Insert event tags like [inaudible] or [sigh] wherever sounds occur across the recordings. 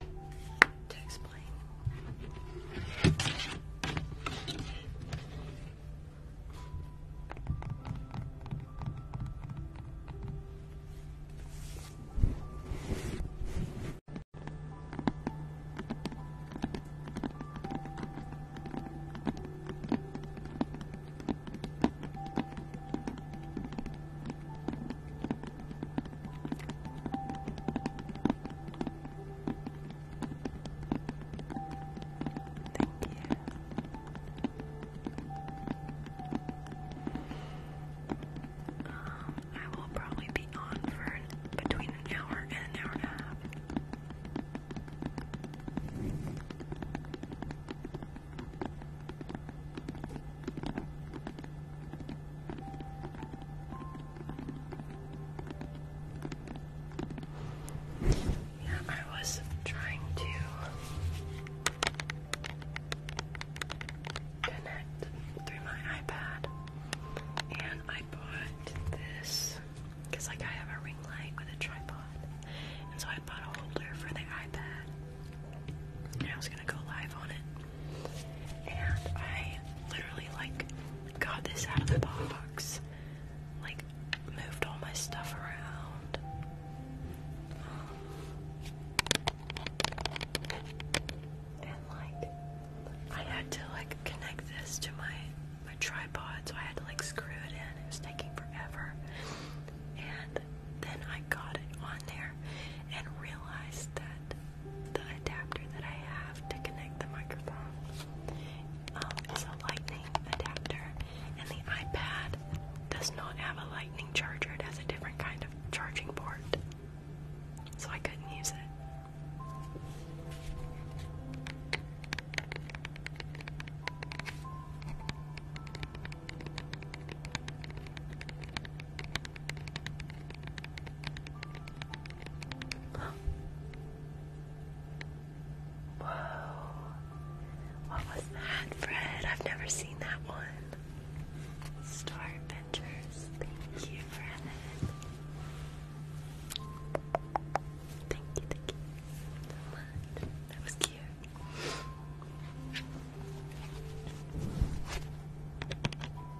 to explain. Um, I will probably be on for between an hour and an hour and a half. Yeah, I was trying to connect through my iPad and I bought this because like I have a ring light with a tripod and so I bought a holder for the iPad and I was gonna go live on it and I literally like got this out of the box, like moved all my stuff around. And like I had to like connect this to my my tripod, so I had to like screw it in. It was taking forever. And then I got it on there and realized that the adapter that I have to connect the microphone um, is a lightning adapter, and the iPad does not have a lightning charger, it has a different kind of charging port, so I couldn't use it. Whoa. What was that, Fred? I've never seen that one. Star Adventures. Thank you, Fred. Thank you, thank you so much. That was cute.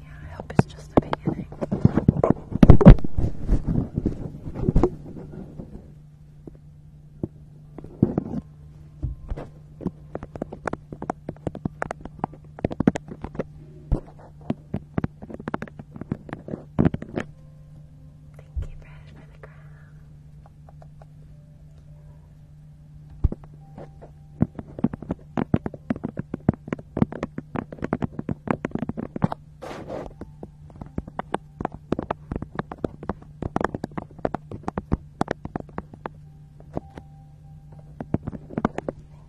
Yeah, I hope it's just the beginning. Thank you, Brad, for the Thank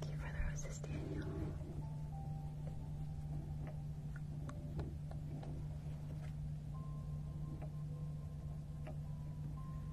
you for the roses, Daniel.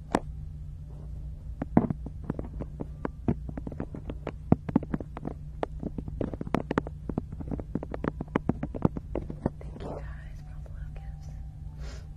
Thank you guys for all the love gifts. Thank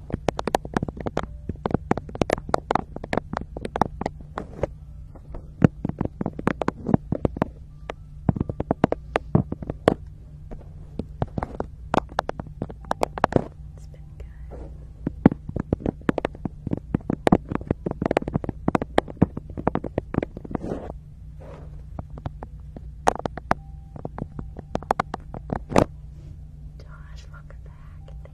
It's been good. Josh, welcome back.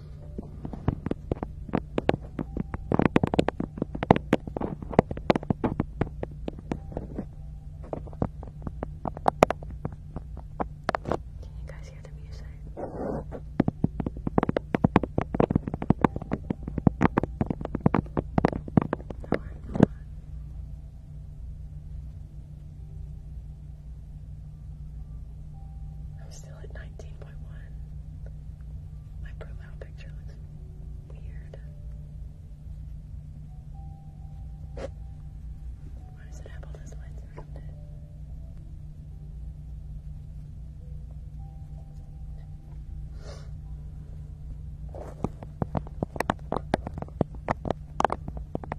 Can you guys hear the music? No, I'm not. I'm still at 19.1. My profile picture looks weird. Why does it have all those lines around it?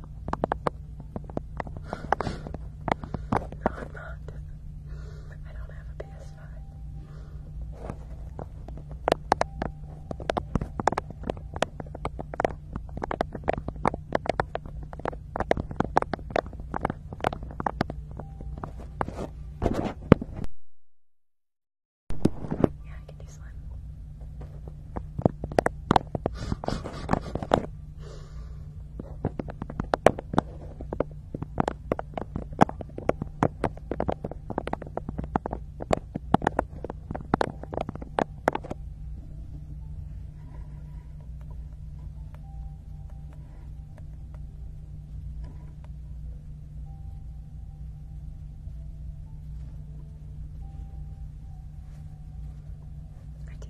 No, I'm not. I don't have a PS5. Yeah, I can do slime. I do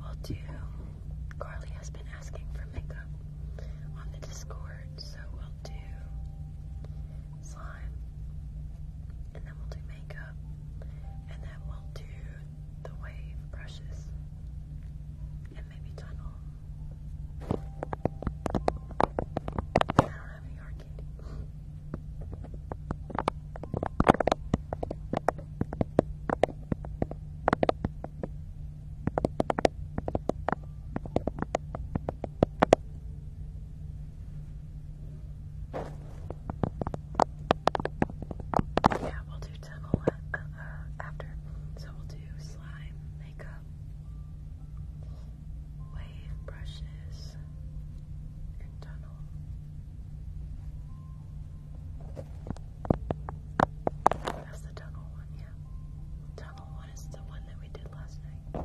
We'll do. Carly has been asking for makeup on the Discord, so we'll do slime, and then we'll do makeup, and then we'll do the wave brushes, and maybe tunnel. I don't have any hard Yeah, we'll do tunnel uh, uh, after. So we'll do slime makeup wave brushes and tunnel. That's the tunnel one, yeah. Tunnel one is the one that we did last night.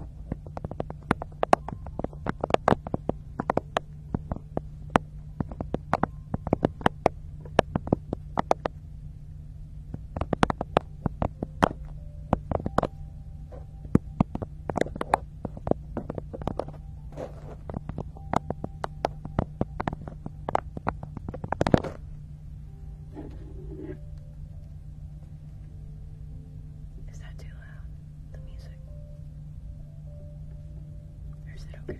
Is that too loud? The music? Or is it okay?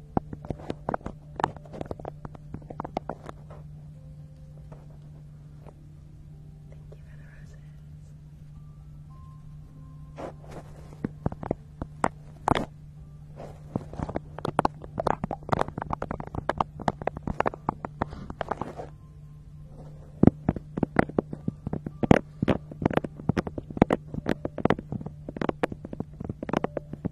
Thank you for the roses. Thank what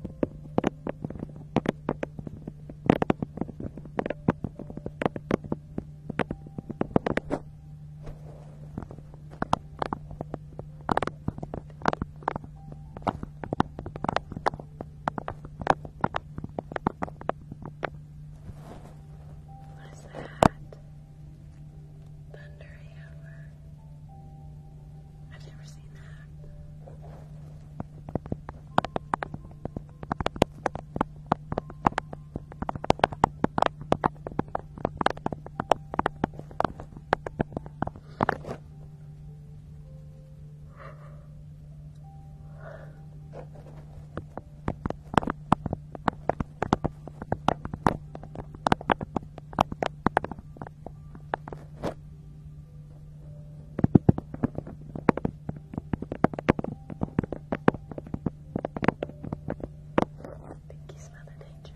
is that? Thunderhammer. I've never seen that think you smell the danger.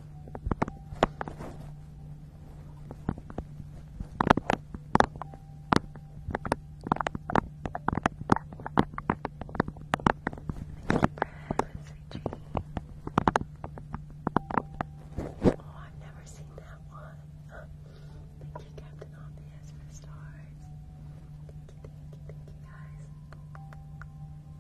Oh, I've never seen that one. Thank you, Captain Obvious, for the stars. Thank you, thank you, thank you, guys.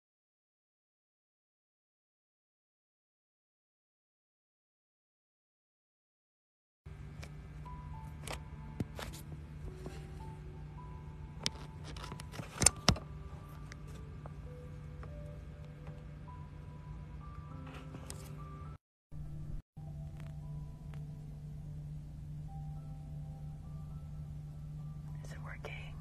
Is it working?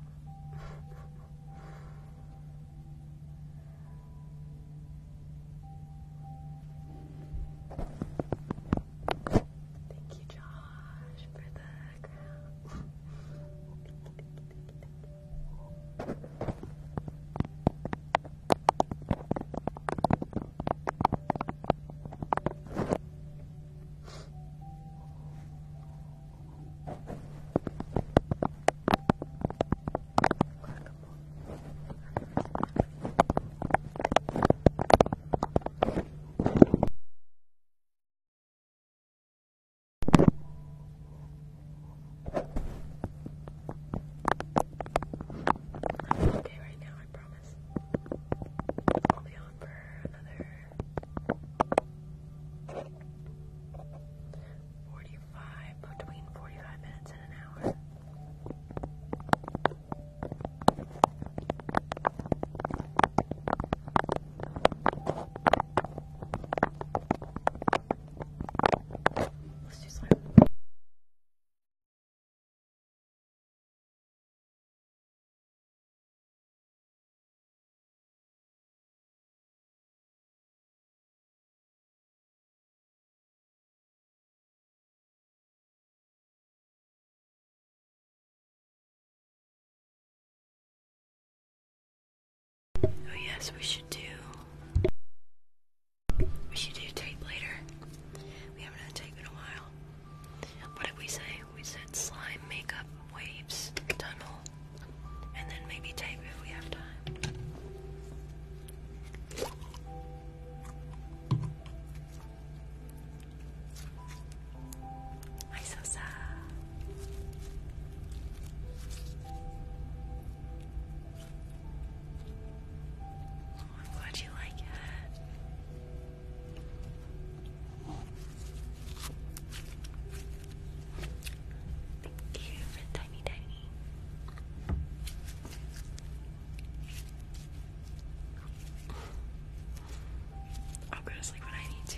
Thank you, Josh, for the crown. I'm okay right now, I promise. I'll be on for another 40 between 45 minutes and an hour. Let's do slime. Oh yes, we should do. We should do tape later. We haven't had tape in a while. What did we say? We said slime makeup waves tunnel and then maybe tape if we have time. I'm so sad. Oh, I'm glad you like it. Thank you for tiny tiny. I'll go to sleep when I need to.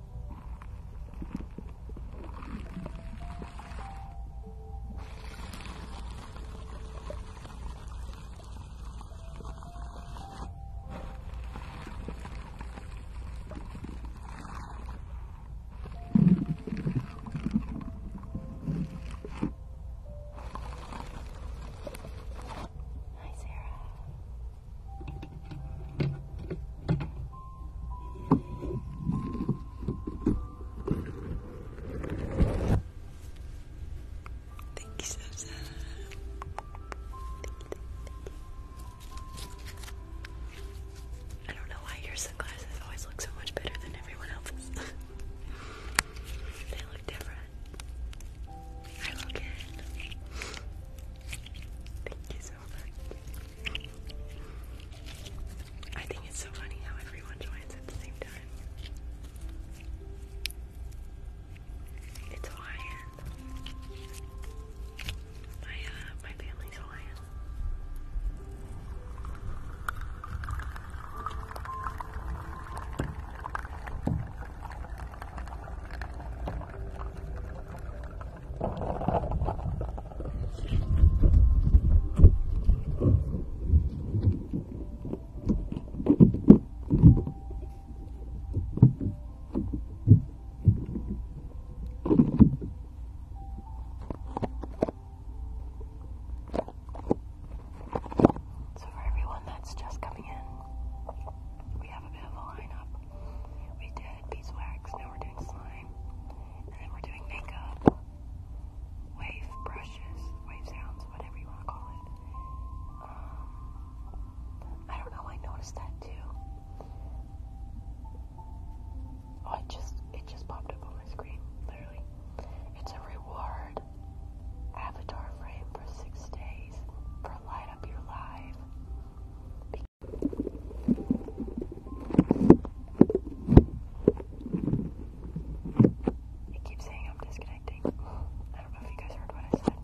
Hi, Sarah. Thank you, so Thank I don't know why your sunglasses always look so much better than everyone else's. [laughs] they look different. I look good. Thank you so much. I think it's so funny how everyone joins at the same time. It's Hawaiian. My uh, my family's Hawaiian. So, for everyone that's just coming in, we have a bit of a lineup. We did beeswax, now we're um, I don't know, I noticed that too. Oh, it just, it just popped up on my screen, literally. It's a reward avatar frame for six days for light up your live. I keep saying I'm disconnecting. I don't know if you guys heard what I said.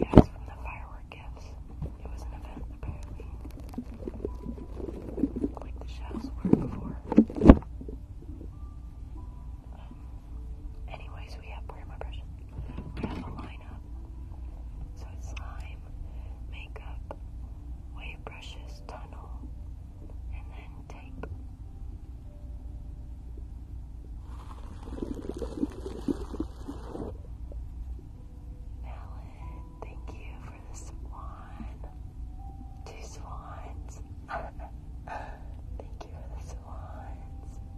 Yeah, it's from the firework It was an event, apparently. Like the shells were before. Um, anyways, we have more impressions kind of a lineup. So slime, makeup, wave brushes, tunnel, and then tape. Alan, thank you for the swan. Two swans. [laughs] thank you for the swans.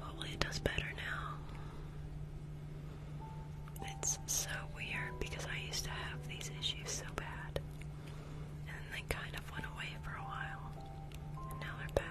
Hopefully it does better now. It's so weird because I used to have these issues so bad. And they kind of went away for a while. And now they're back.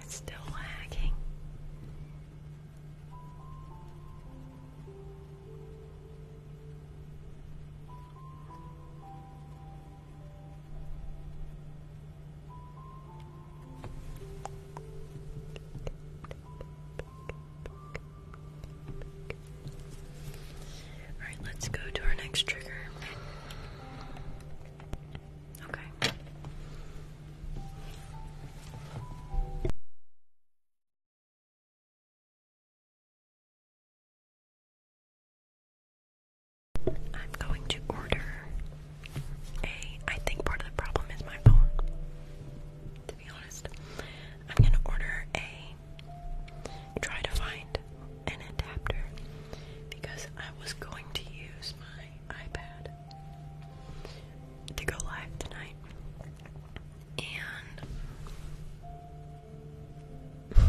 It's still lagging. Alright, let's go to our next trigger. Okay. I'm going to order a. I think part of the problem is my phone, to be honest. I'm gonna order a try to find an adapter because I was going to use my iPad to go live tonight and [laughs] Hi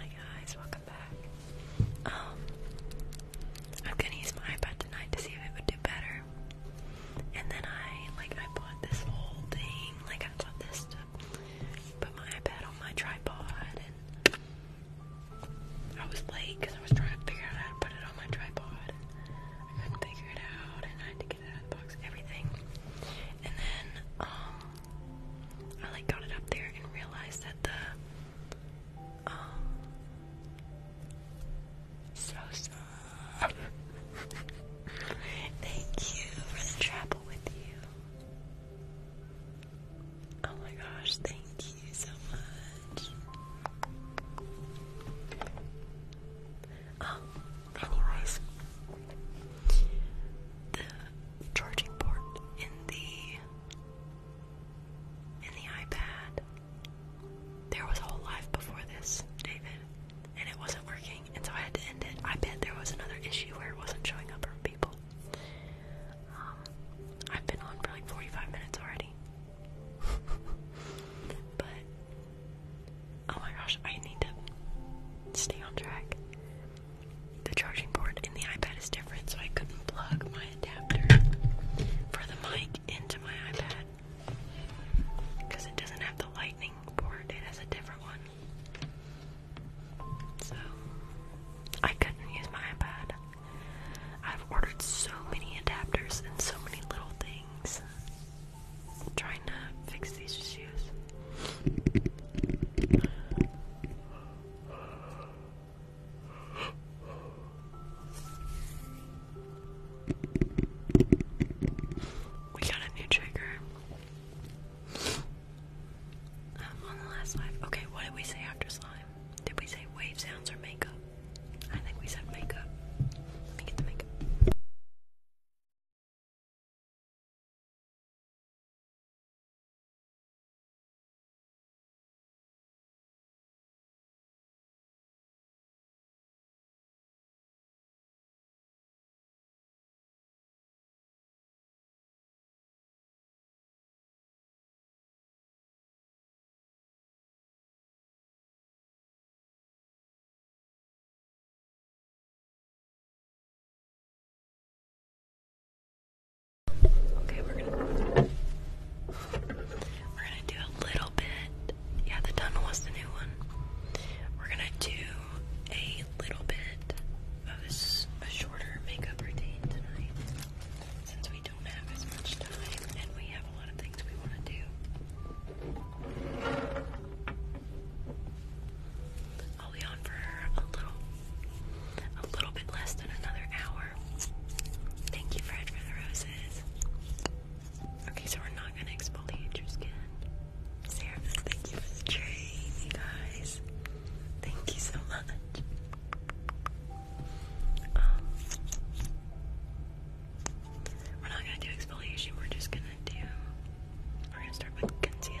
guys, welcome back. Um I'm gonna use my iPad tonight to see if it would do better and then I like I bought this whole thing. Like I bought this to put my iPad on my tripod, and I was late because I was trying to figure out how to put it on my tripod. I couldn't figure it out, and I had to get it out of the box. Everything. And then um, I like got it up there and realized that the um, So, so Thank you for the travel with you. Oh my gosh, thank you so much. anyways, oh, the charging port in the in the iPad there was a whole life before this, David, and it wasn't working, and so I had to end it. I bet there was another issue where it wasn't showing up for people. Um, I've been on for like 45 minutes already. [laughs] but, oh my gosh, I need to stay on track. The charging port in the iPad is different, so I couldn't plug my adapter for the mic into my iPad. Because it doesn't have the lightning port, it has a different one. So, I couldn't use my iPad. I've ordered so many adapters and so many little things. trying to fix these issues. We got a new trigger. Um, on the last live. Okay, what did we say after slime? Did we say wave sounds or makeup? I think we said makeup. Let me get the makeup. Okay, we're gonna we're gonna do a little yeah, the tunnel was the new one. We're gonna do a little bit of a shorter makeup routine tonight since we don't have as much time and we have a lot of things we want to do. I'll be on for a little, a little bit less than another hour. Thank you, Fred, for the roses. Okay, so we're not gonna exfoliate your skin. thank you for the you guys. Thank you so much. Um, we're not gonna do exfoliation, we're just gonna do we're gonna start with concealer.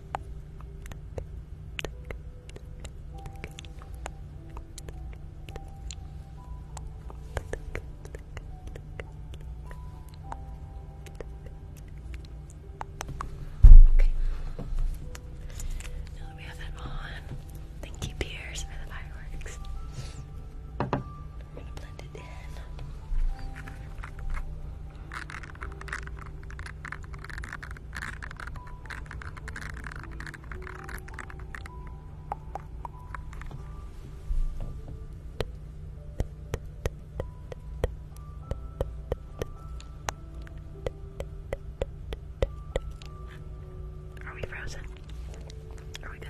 Okay. Now that we have that on, thank you, Pierce, for the fireworks. I'm gonna blend it in. Are we frozen? Are we good?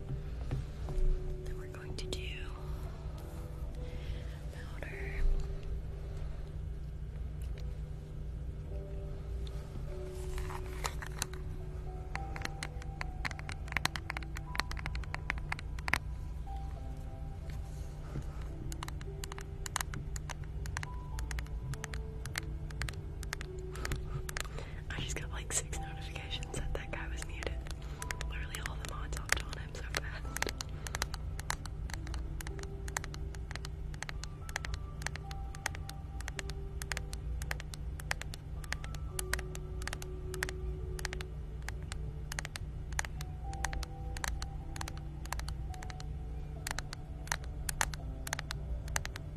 Then we're going to do powder. [laughs] I just got like six notifications that that guy was muted. Literally all the mods hopped on him so fast.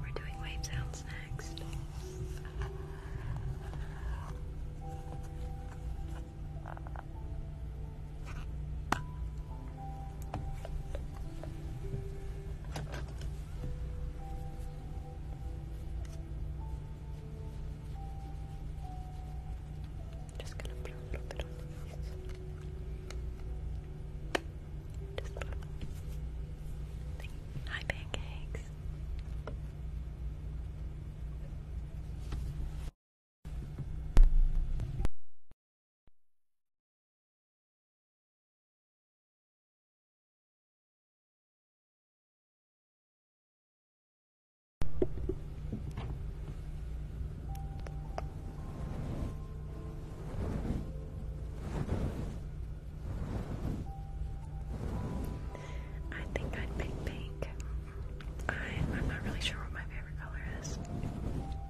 We're doing wave sounds next. Just gonna put a little bit on my mouth. Hi, pancakes. I think I'd pick pink. I, am not really sure what my favorite color is.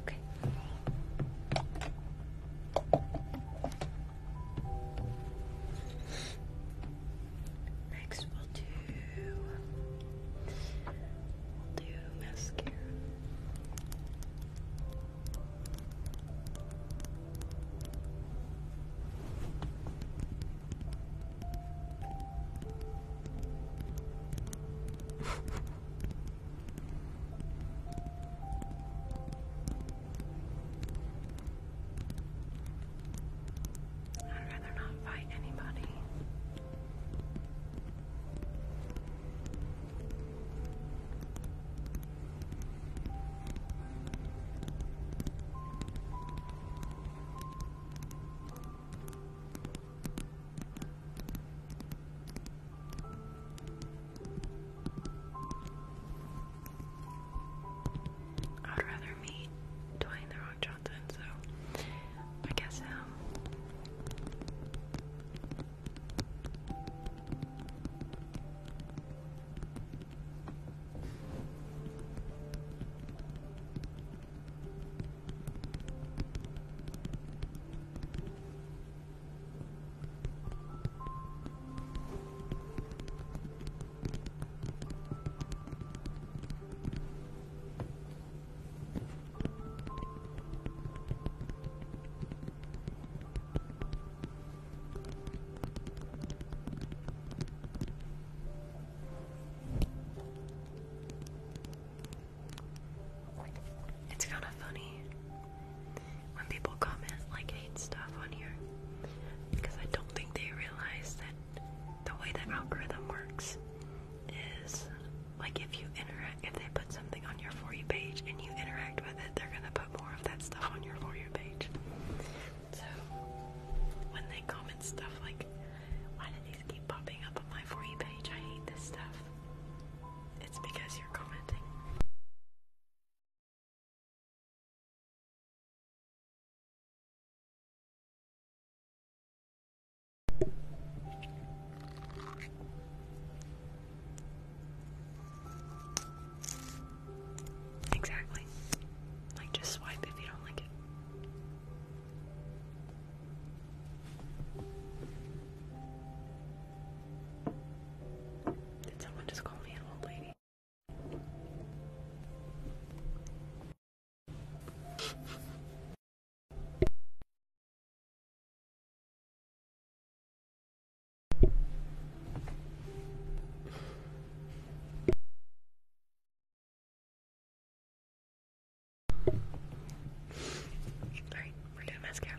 Okay. Next, we'll do. We'll do I'd rather not fight anybody. I'd rather meet Dwayne the Ron so I guess him. Um, it's kind of funny when people comment like hate stuff on here because I don't think they realize that the way that algorithm works is like if you interact, if they put something on your For You page and you interact with it, they're gonna put more of that stuff on your For You page. So when they comment stuff like, why do these keep popping up on my For You page? I hate this stuff. It's because you're commenting. Exactly. Like, just swipe if you don't like it. Did someone just call me an old lady? Alright, we're doing mascara.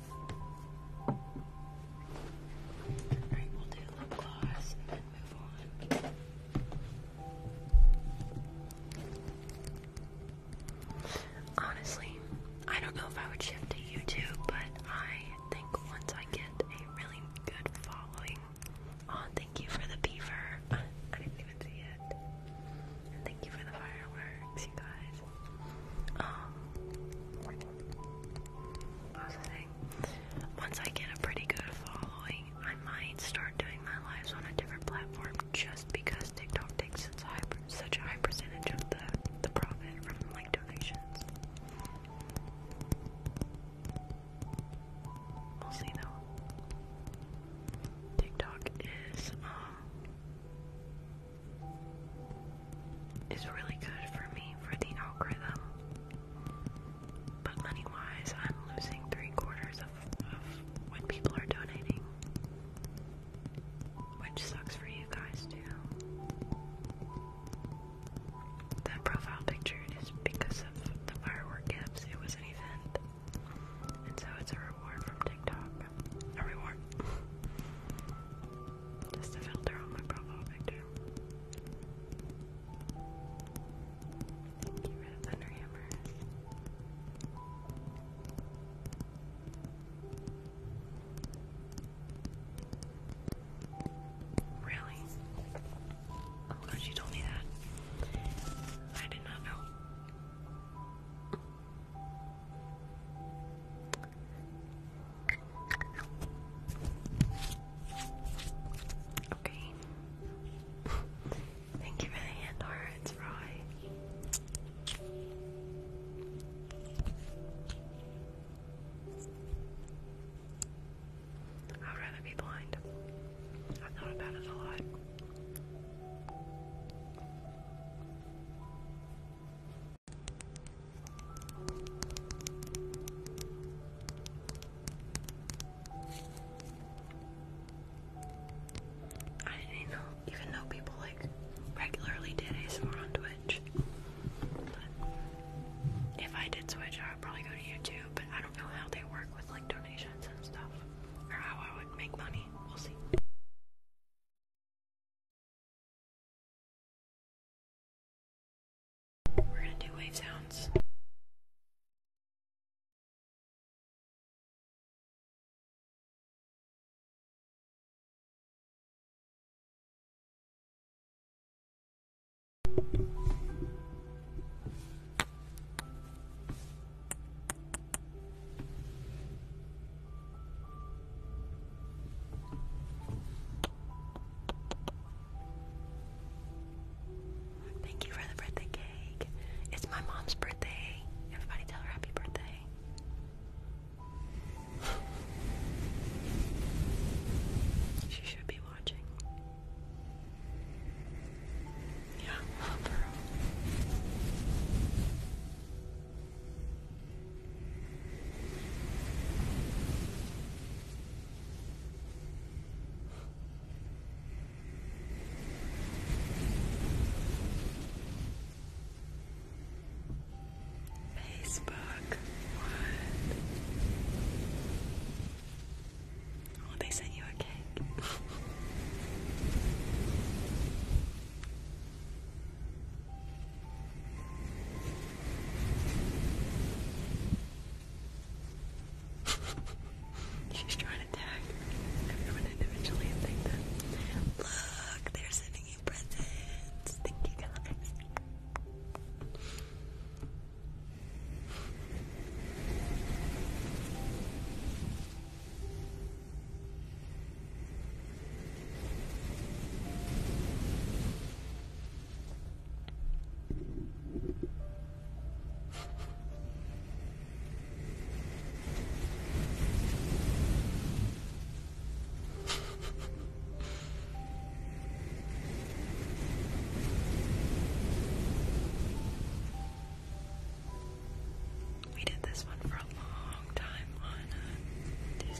Honestly, I don't know if I would shift to YouTube, but I think once I get a really good following on, oh, thank you for the beaver. [laughs] I didn't even see it. thank you for the fireworks, you guys. Um, once I get a pretty good following, I might start doing my lives on a different platform just because TikTok takes such a high, such a high percentage of the, the profit from like donations. We'll see though. TikTok is um, is really good for me for the algorithm. But money wise, I'm losing three quarters of, of what people are donating. Which sucks for you guys too. That profile picture is because of the firework gifts. It was an event. And so it's a reward from TikTok. reward. [laughs] Just a filter on my profile picture. Get rid of thunder hammers. Really? Oh god, you told me that. I did not know. Okay. Thank you for the hand hearts, Roy. I'd rather be blind. I've thought about it a lot. I didn't even know, people like regularly did ASMR on Twitch. if I did switch, I would probably go to YouTube, but I don't know how they work with like donations and stuff, or how I would make money. We'll see. We're gonna do wave sounds. Thank you for the birthday cake. It's my mom's birthday. Everybody tell her happy birthday. she should be watching. Yeah, oh, girl. Facebook, what? Oh, they sent you a cake. [laughs] She's trying to tag everyone individually look, they're sending you presents. Thank you guys. We did this one for a long time on uh, Tuesday.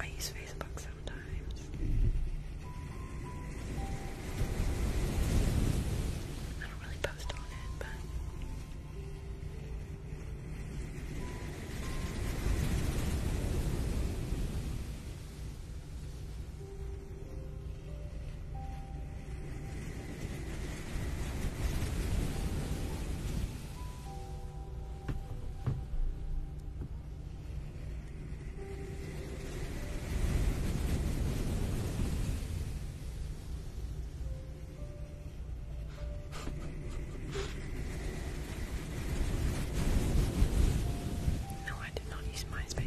I use Facebook sometimes. I don't really post on it, but. No, I did not use MySpace.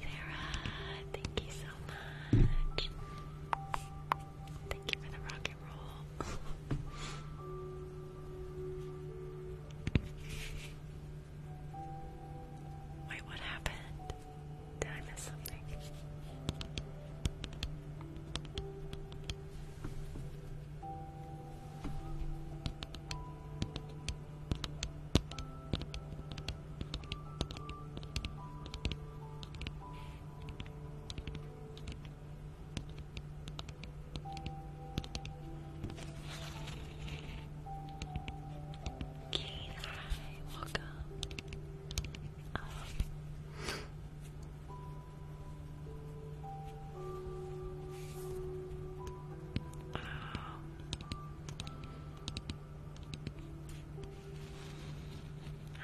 Sarah, thank you Thank you for the rock and roll. [laughs] Wait, what happened? Did I miss something? Keith, hi, welcome. Um.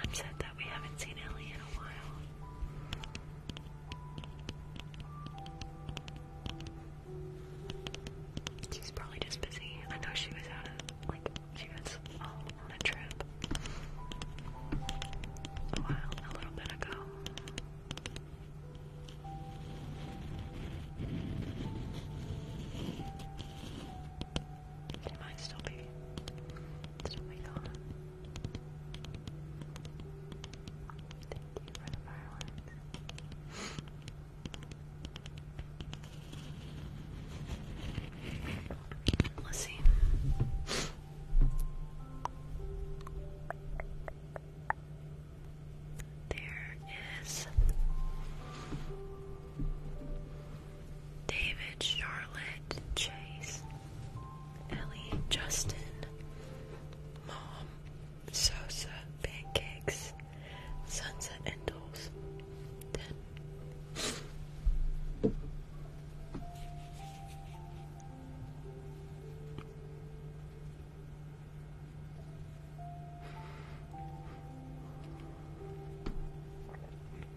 I'm sad that we haven't seen Ellie in a while. She's probably just busy. I know she was out of, like, she was on a trip a while, a little bit ago. It might still be, still be gone. Thank you for the fireworks. Let's see. There is David, Charlotte, Chase, Ellie, Justin, Mom, Sosa, Pancakes, Sunset Endles, Ten.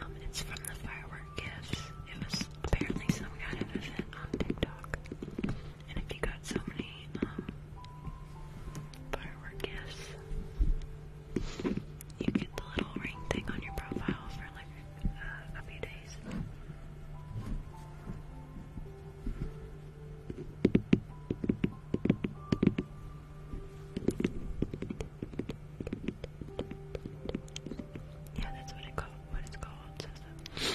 Um, it's from the firework gifts. It was apparently some kind of event on TikTok. And if you got so many um, firework gifts, you get the little ring thing on your profile for like uh, a few days. Yeah, that's what it called what it's called, so,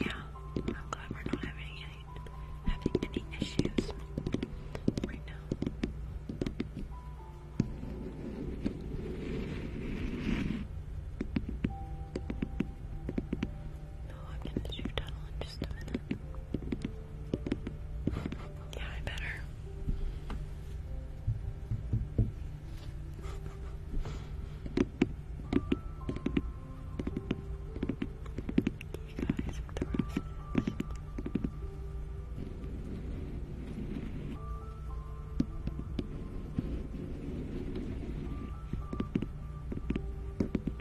Yeah, I'm glad we're not having having any issues right now. No, I'm gonna shoot tunnel in just a minute. Yeah, I better. You guys with the roses.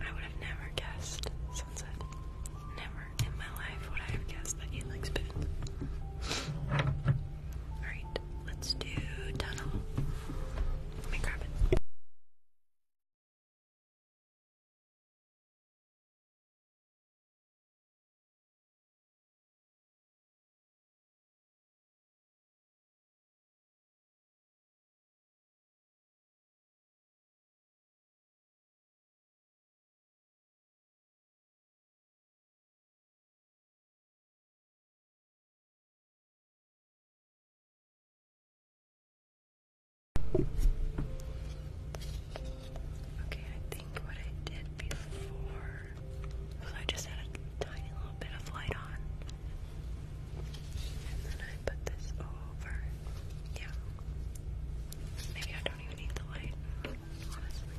I would have never guessed sunset. Never in my life would I have guessed that you like spoons. Alright, let's do tunnel. Let me grab it. Okay, I think what I did before so I just had a tiny little bit of light on. And then I put this over. Yeah. Maybe I don't even need the light, honestly.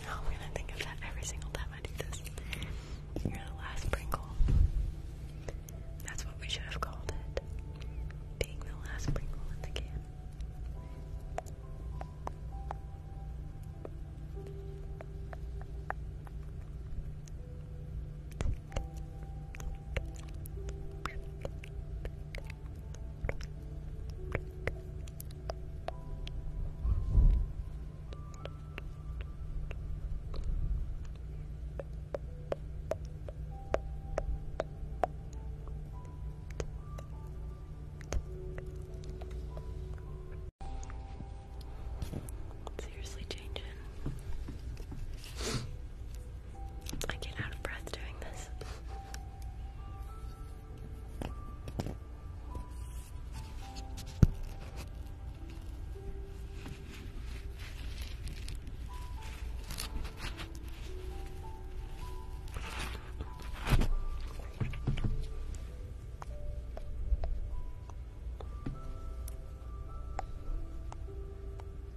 Now I'm gonna think of that every single time I do this. You're the last Pringle. That's what we should have called it. Being the last Pringle in Seriously changing. I get out of breath doing this.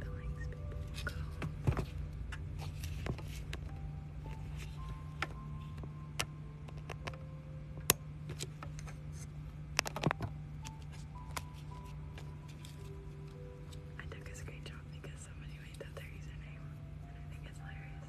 The lengths I took a screenshot because somebody made that their username, and I think it's hilarious.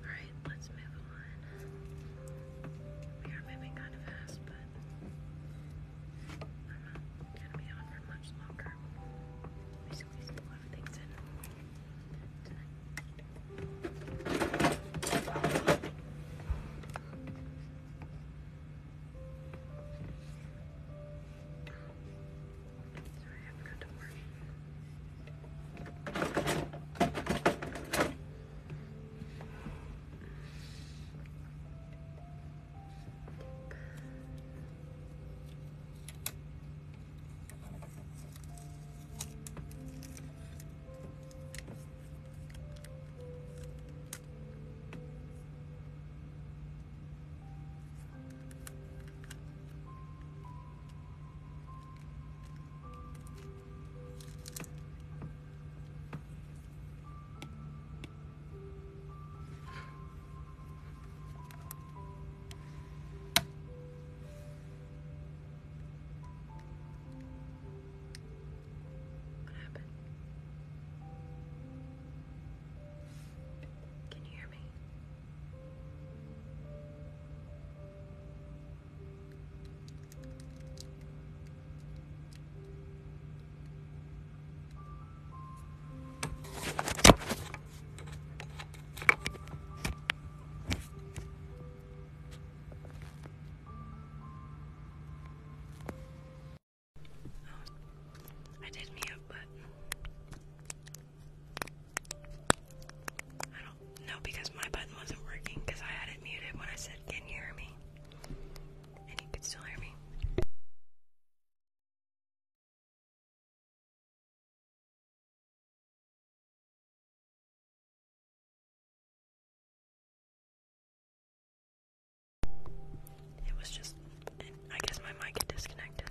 Alright, let's move on. We are moving kind of fast, but I'm going to be on for much longer. We squeezed a lot of things in Sorry, I forgot to work. What happened? Can you hear I did me up, but I don't know because my button wasn't working because I had it muted when I said, Can you hear me? And you could still hear me. It was just, I guess my mic had disconnected.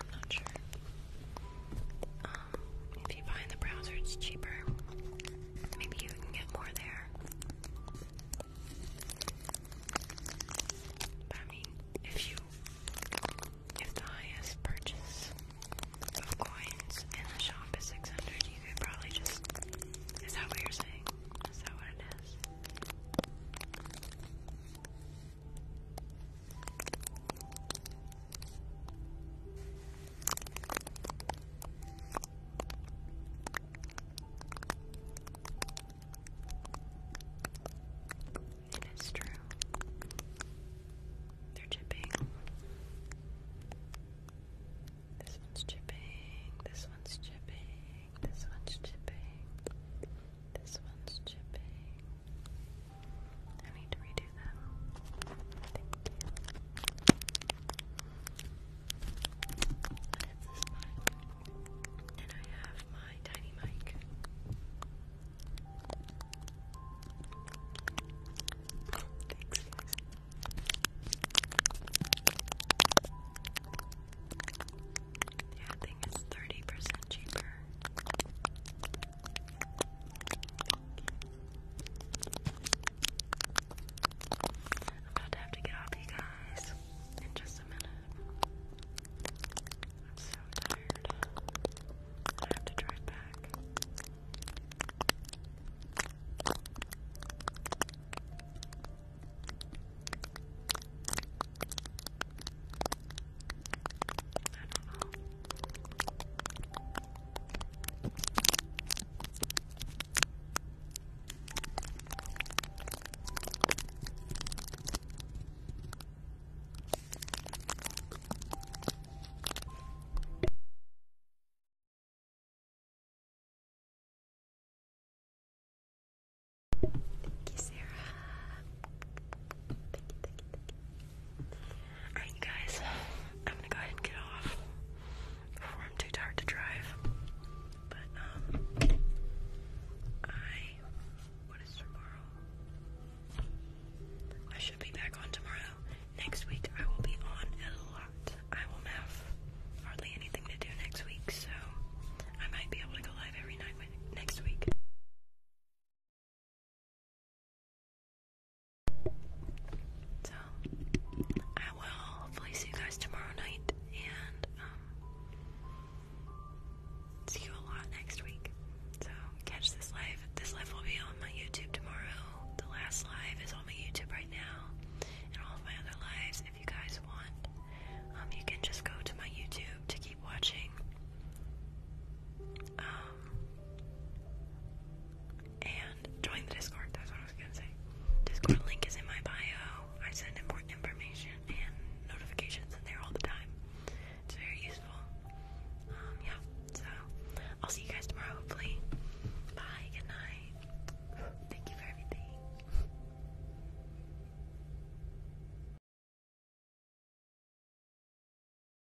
I'm not sure. Um, if you buy the browser, it's cheaper. Maybe you can get more there. I mean, if you, if the highest purchase of coins in the shop is 600, you could probably just. Is that what you're saying? Is that what it is? It is true. They're chipping. This one's chipping. This one's chipping. This one's chipping. This one's chipping. I need to redo that. And I have my tiny mic. Yeah, I think it's thirty percent cheaper. I'm about to have to get you guys in just a minute. I'm so tired. I have to drive back. Thank you, Sarah. thank you, thank you. Alright, guys, I'm gonna go ahead and get off before I'm too tired to drive. But, um, I. What is tomorrow? I should be back on tomorrow. Next week, I will be on a lot. I will have hardly anything to do next week, so I might be able to go live every night next week. So, I will hopefully see you guys tomorrow night and um, see you a lot next week. So, catch this live. This live will be on my YouTube tomorrow. The last live is on my YouTube right now and all of my other lives. If you guys want, um, you can just go to my YouTube to keep watching. Um, and join the Discord. That's what I was gonna say. Discord link is in my bio. I send important information and notifications in there all the time. It's very useful. Um, yeah. So I'll see you guys tomorrow. Hopefully. Bye. Good night. Thank you for everything.